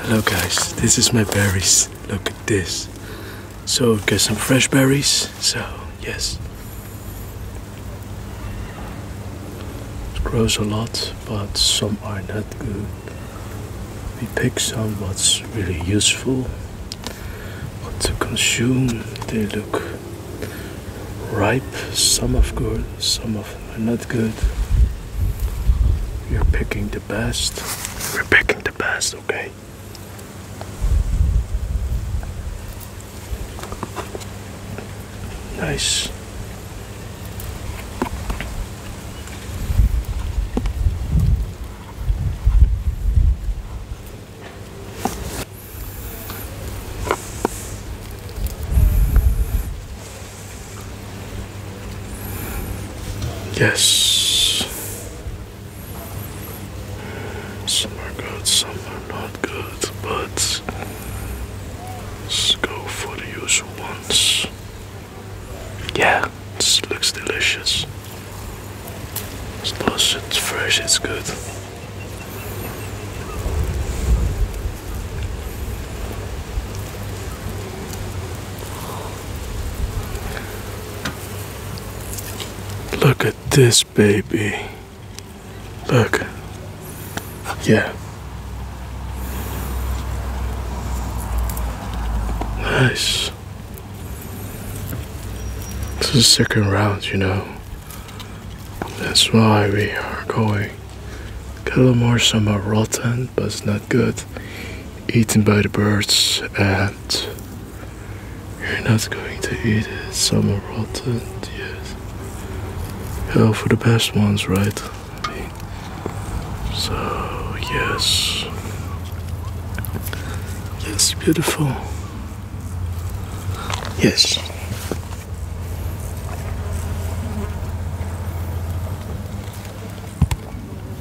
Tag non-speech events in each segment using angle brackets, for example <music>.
Hello guys, this is my berries. Look at this. So got some fresh berries, so yes. It grows a lot, but some are not good. We pick some what's really useful. What to consume, they look ripe. Some of good, some of are not good. You're picking the best. We're picking the best, okay? Nice. Yes. Some are good, some are not good, but let's go for the usual ones. Yeah, this looks delicious. it's fresh, it's good. Look at this baby. Look. Yeah. Nice. This is the second round, you know. That's why we are going. Get a little more some rotten but it's not good. Eaten by the birds, and you're not going to eat it. Some are rotten, yes. Hell for the best ones, right? So, yes. Yes, beautiful. Yes.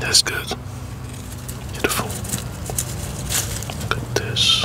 That's good. Beautiful. Look at this.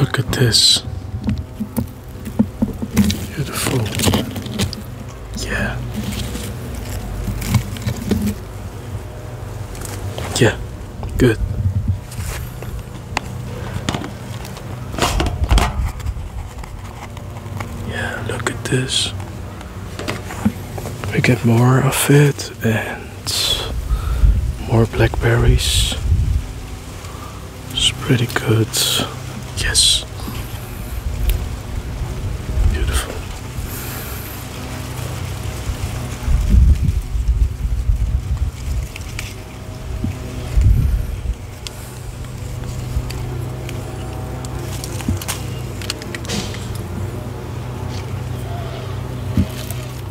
Look at this. Beautiful. Yeah. Yeah, good. Yeah, look at this. We get more of it and more blackberries. It's pretty good. Yes. Beautiful.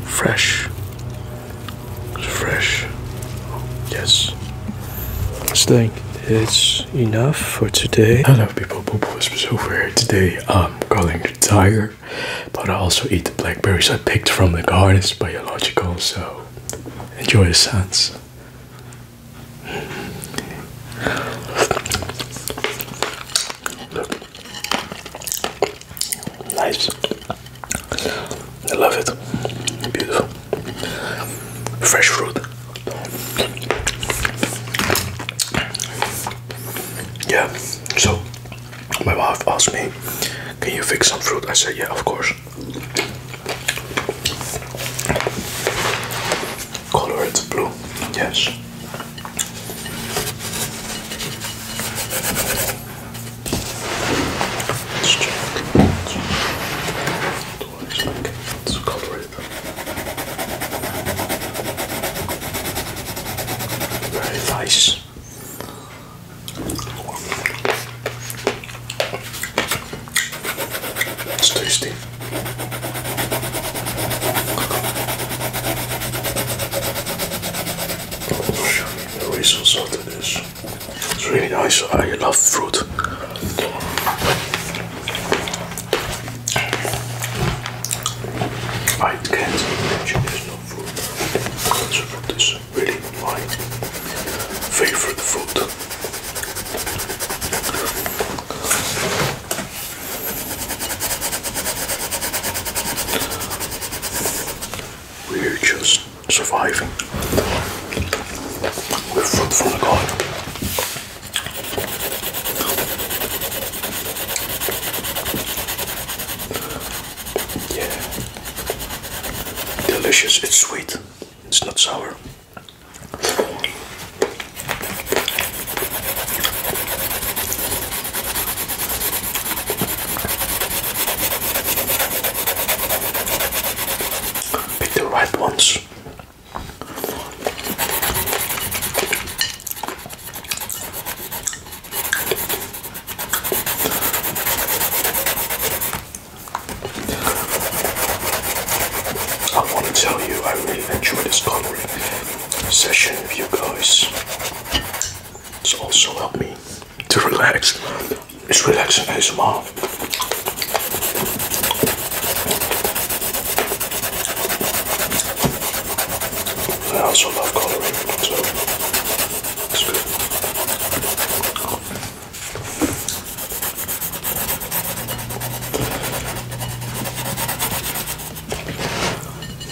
Fresh. Fresh. Yes. It's like it's enough for today. I love people, Poop Whispers so here. Today I'm calling the tired, but I also eat the blackberries I picked from the garden. It's biological, so enjoy the sounds. Nice. I love it. Beautiful. Fresh fruit. Yeah, so my wife asked me, Can you fix some fruit? I said, Yeah, of course. Color it blue, yes. Let's check. Otherwise, like, let's cover it. Very nice. It's tasty i the results It's really nice. I love fruit. I can't imagine no fruit. So is really my favorite fruit. We're just surviving with food from the God. Yeah, delicious. It's sweet. It's not sour. Pick the right ones. I want to tell you, I really enjoyed this coloring session with you guys. It's also helped me to relax. It's relaxing ASMR. I also love coloring, so it's good.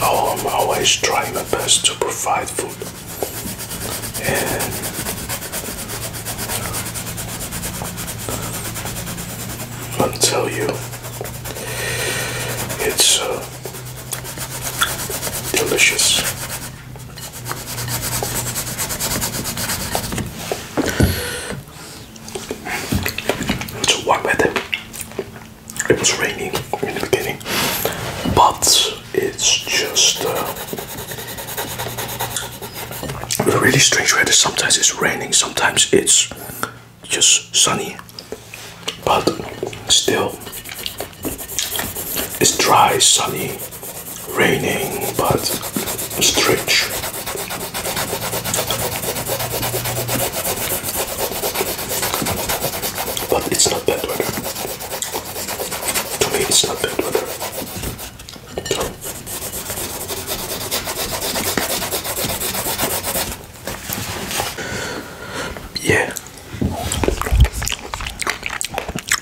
Oh, I'm always trying my best to provide food and tell you it's uh, delicious. It's warm weather. It was raining in the beginning, but it's just uh, really strange weather. Sometimes it's raining, sometimes it's just sunny, but still it's dry, sunny, raining, but strange. But it's not bad weather. To me, it's not bad weather. Yeah.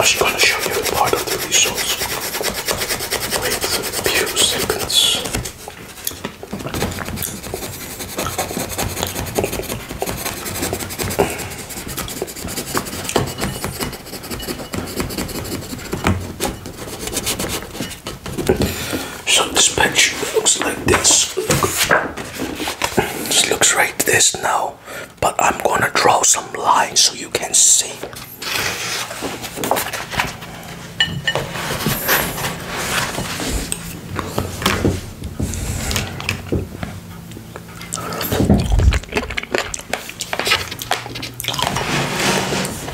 I'm just gonna show you part of the results Wait a few seconds. So the sponge looks like this. This looks like this now, but I'm gonna draw some lines so you can see.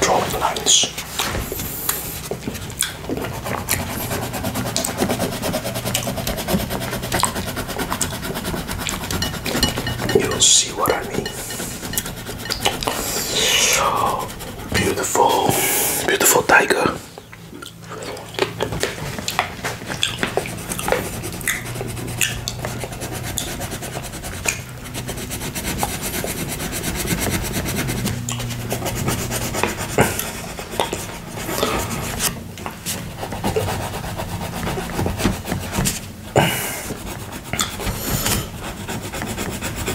Drawing lines. You'll see what I mean. beautiful, beautiful tiger.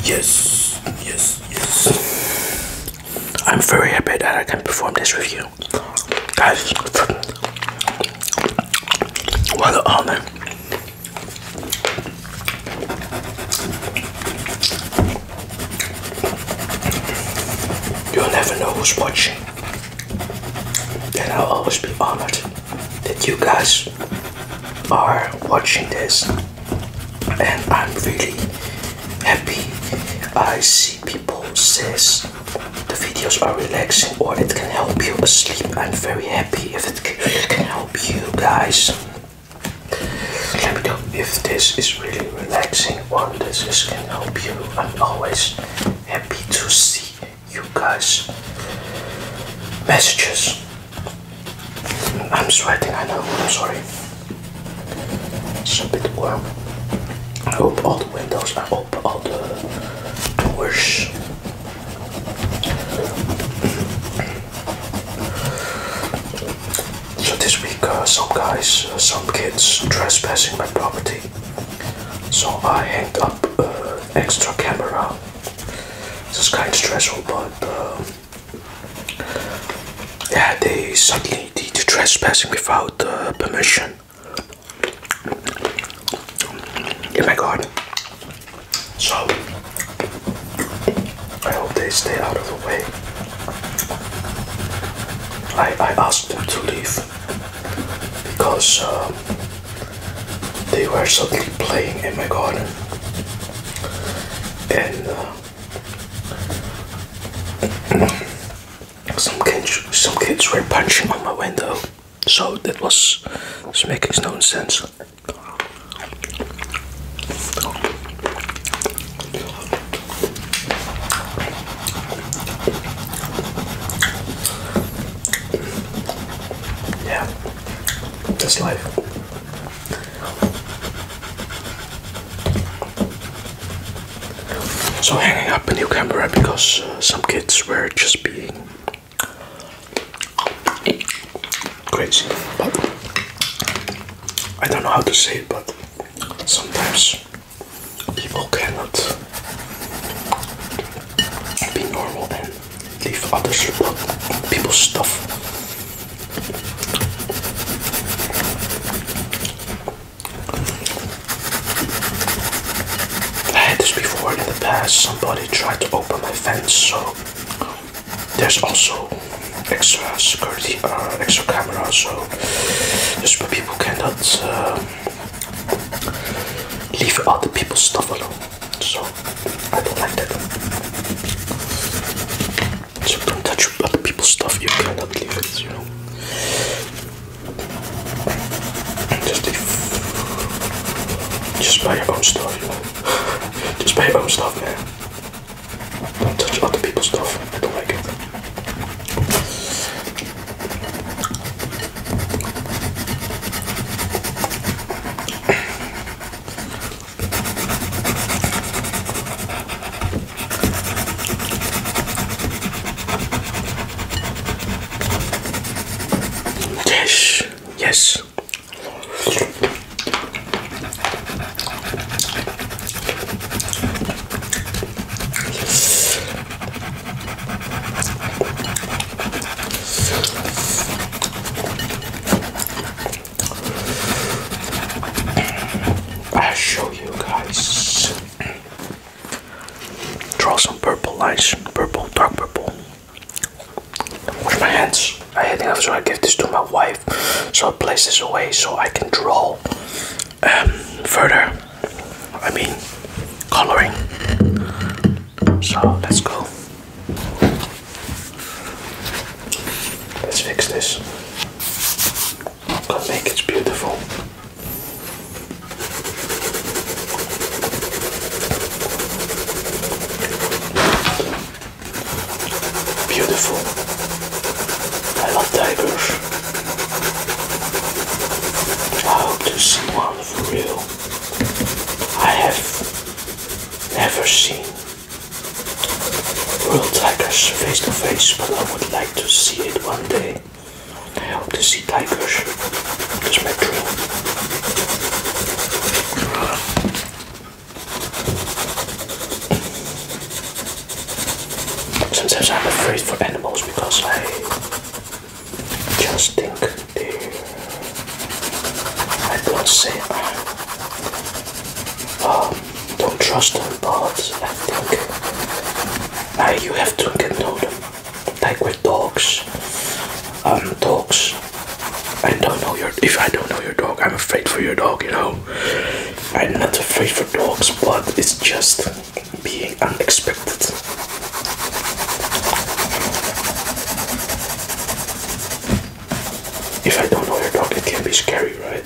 Yes, yes, yes. I'm very happy that I can perform this review you guys. What an honor. You'll never know who's watching. And I'll always be honored that you guys are watching this. And I'm really happy I see people says the videos are relaxing or it can help you asleep. I'm very happy if it can help you guys. Let me know if this is really relaxing or this is can help you. I'm always happy to see you guys messages. I'm sweating, I know, I'm sorry. It's a bit warm. I hope all the windows are open top the doors. So this week, uh, some guys, uh, some kids trespassing my property. So I hang up uh, extra camera. It's kind of stressful, but yeah, they suddenly did trespassing without permission. In oh my garden, So, I hope they stay out of the way. I, I asked them to leave because uh, they were suddenly playing in my garden. And uh, some kids, some kids were punching on my window, so that was, was making no sense. Yeah, that's life. So hanging up a new camera eh, because uh, some kids were just being crazy. But I don't know how to say it, but sometimes people cannot be normal and leave others about people's stuff. I had this before in the past, somebody tried to open my fence, so there's also extra security, uh, extra camera, so just people cannot uh, leave other people's stuff alone. So I don't like that. So don't touch other people's stuff, you cannot leave it, you know. Just, buy your own stuff, you Just buy your own stuff, man. Don't touch other people's stuff. I don't like it. Yes, yes. i show you guys. Draw some purple lines, purple, dark purple. Wash my hands, I had enough, so I give this to my wife. So I place this away so I can draw um, further. I mean, coloring. So let's go. Let's fix this. I'm make it beautiful. Beautiful. I love tigers. I hope to see one for real. I have never seen real tigers face to face, but I would like to see it one day. I hope to see tigers. Dus met drill. Sometimes I'm afraid for animals because I just think they I don't say I um, don't trust them but I think I, uh, you have to get know them like with dogs. Um, dogs. I don't know your. If I don't know your dog, I'm afraid for your dog. You know, I'm not afraid for dogs, but it's just being unexpected. If I don't know your dog, it can be scary, right?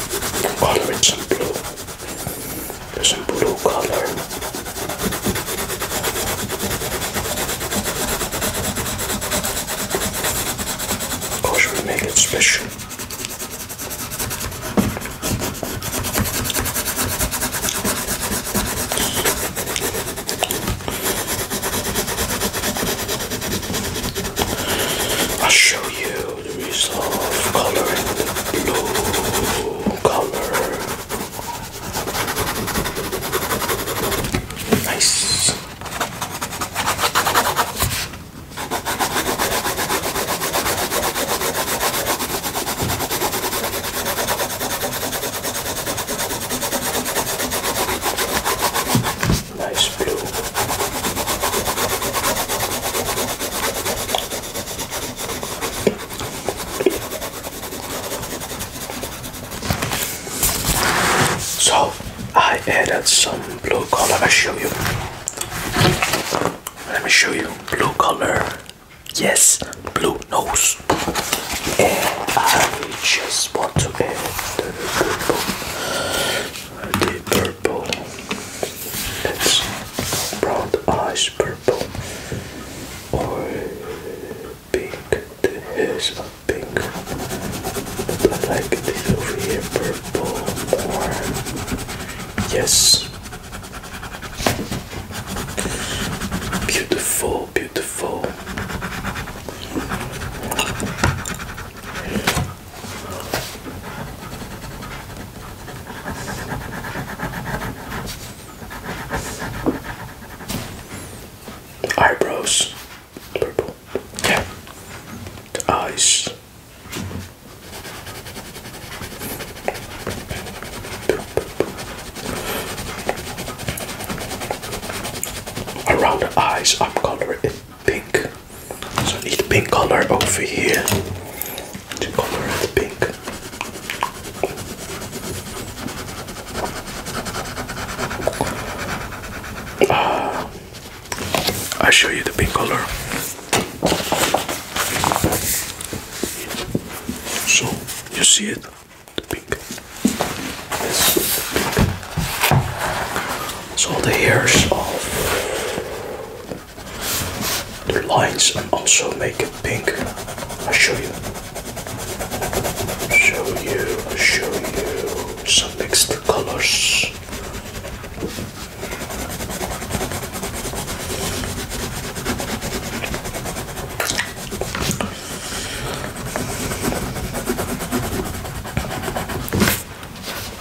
orange and blue. There's blue color. Of oh, course, we make it special. I'll show you the result of coloring the blue color. Nice. Nice blue. So I added some blue color. I show you. Let me show you blue color. Yes, blue nose. And I just want to add the purple, the it's That's brown eyes purple. Or pink. There is hairs pink. But like this over here purple or yes. Beautiful, beautiful. Eyebrows, purple. Yeah. eyes, around the eyes, I'm coloring it pink. So I need pink color over here to color it pink. Ah. i show you the pink color. So you see it, the pink. So the hairs of the lines and also make it pink. i show you. show you, show you some mixed colors.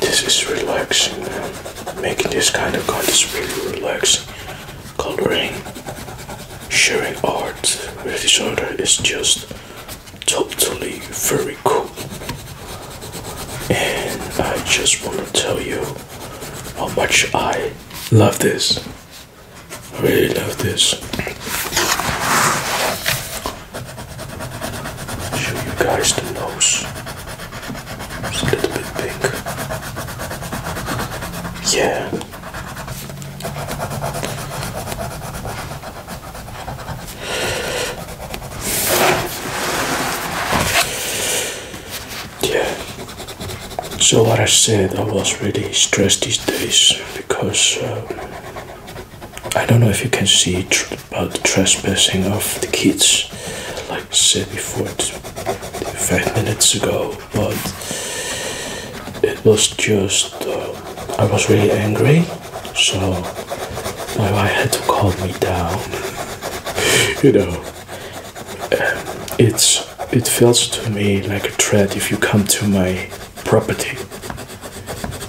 this is relaxing. Making this kind of content is really relaxing. Coloring, sharing art with each other is just totally very cool. And I just want to tell you how much I love this. I really love this show you guys the nose. It's a little bit big. Yeah. Yeah. So what I said, I was really stressed these days because. Um, I don't know if you can see about the trespassing of the kids, like I said before, five minutes ago, but it was just uh, I was really angry, so my wife had to calm me down. <laughs> you know, um, it's it feels to me like a threat if you come to my property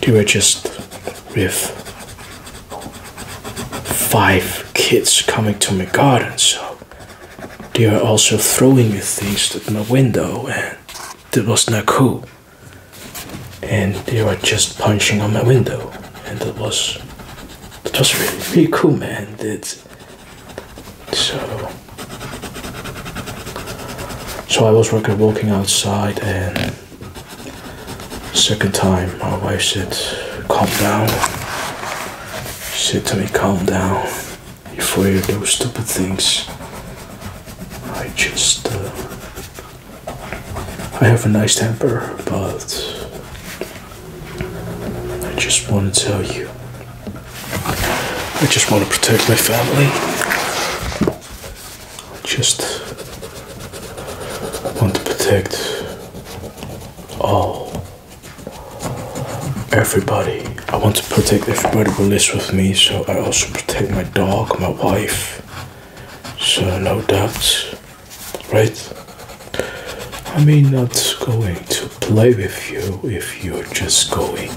They were just with five kids coming to my garden so they were also throwing me things at my window and that was not cool and they were just punching on my window and that was that was really really cool man it's so so I was walking outside and Second time, my wife said, Calm down. She said to me, Calm down. Before you do stupid things, I just. Uh, I have a nice temper, but. I just want to tell you. I just want to protect my family. I just want to protect all everybody. I want to protect everybody who lives with me, so I also protect my dog, my wife. So no doubts, right? I mean, not going to play with you if you're just going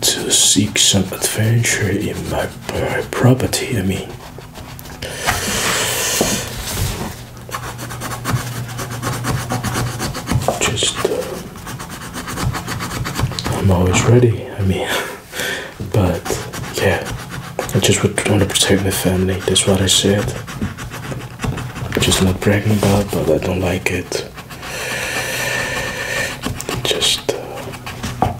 to seek some adventure in my property. I mean, just uh, I'm always ready. I mean, <laughs> but yeah, I just would want to protect my family. That's what I said. just not bragging about, but I don't like it. Just. Uh,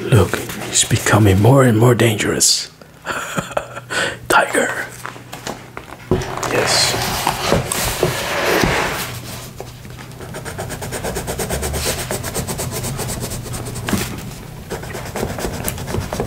Look, he's becoming more and more dangerous. <laughs> Tiger. Yes.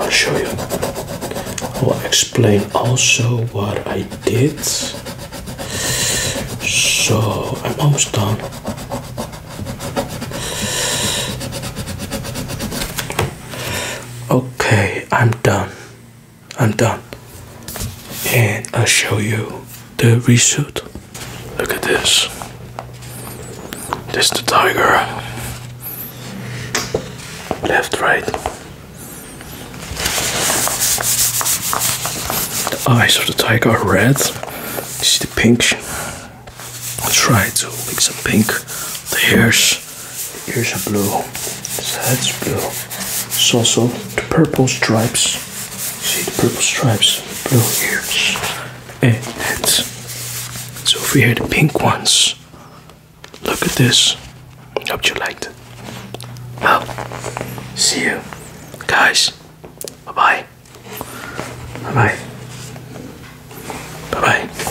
I'll show you. I'll explain also what I did. So I'm almost done. Okay, I'm done. I'm done. And I'll show you the result. Look at this. This the tiger. Left, right. The eyes of the tiger are red. You see the pink. I'll try to make some pink. The hairs the ears blue, his head's blue. It's also the purple stripes. See the purple stripes, blue ears, and heads. So over here, the pink ones. Look at this. Hope you liked it. Well, see you guys. Bye bye. Bye bye. Bye bye.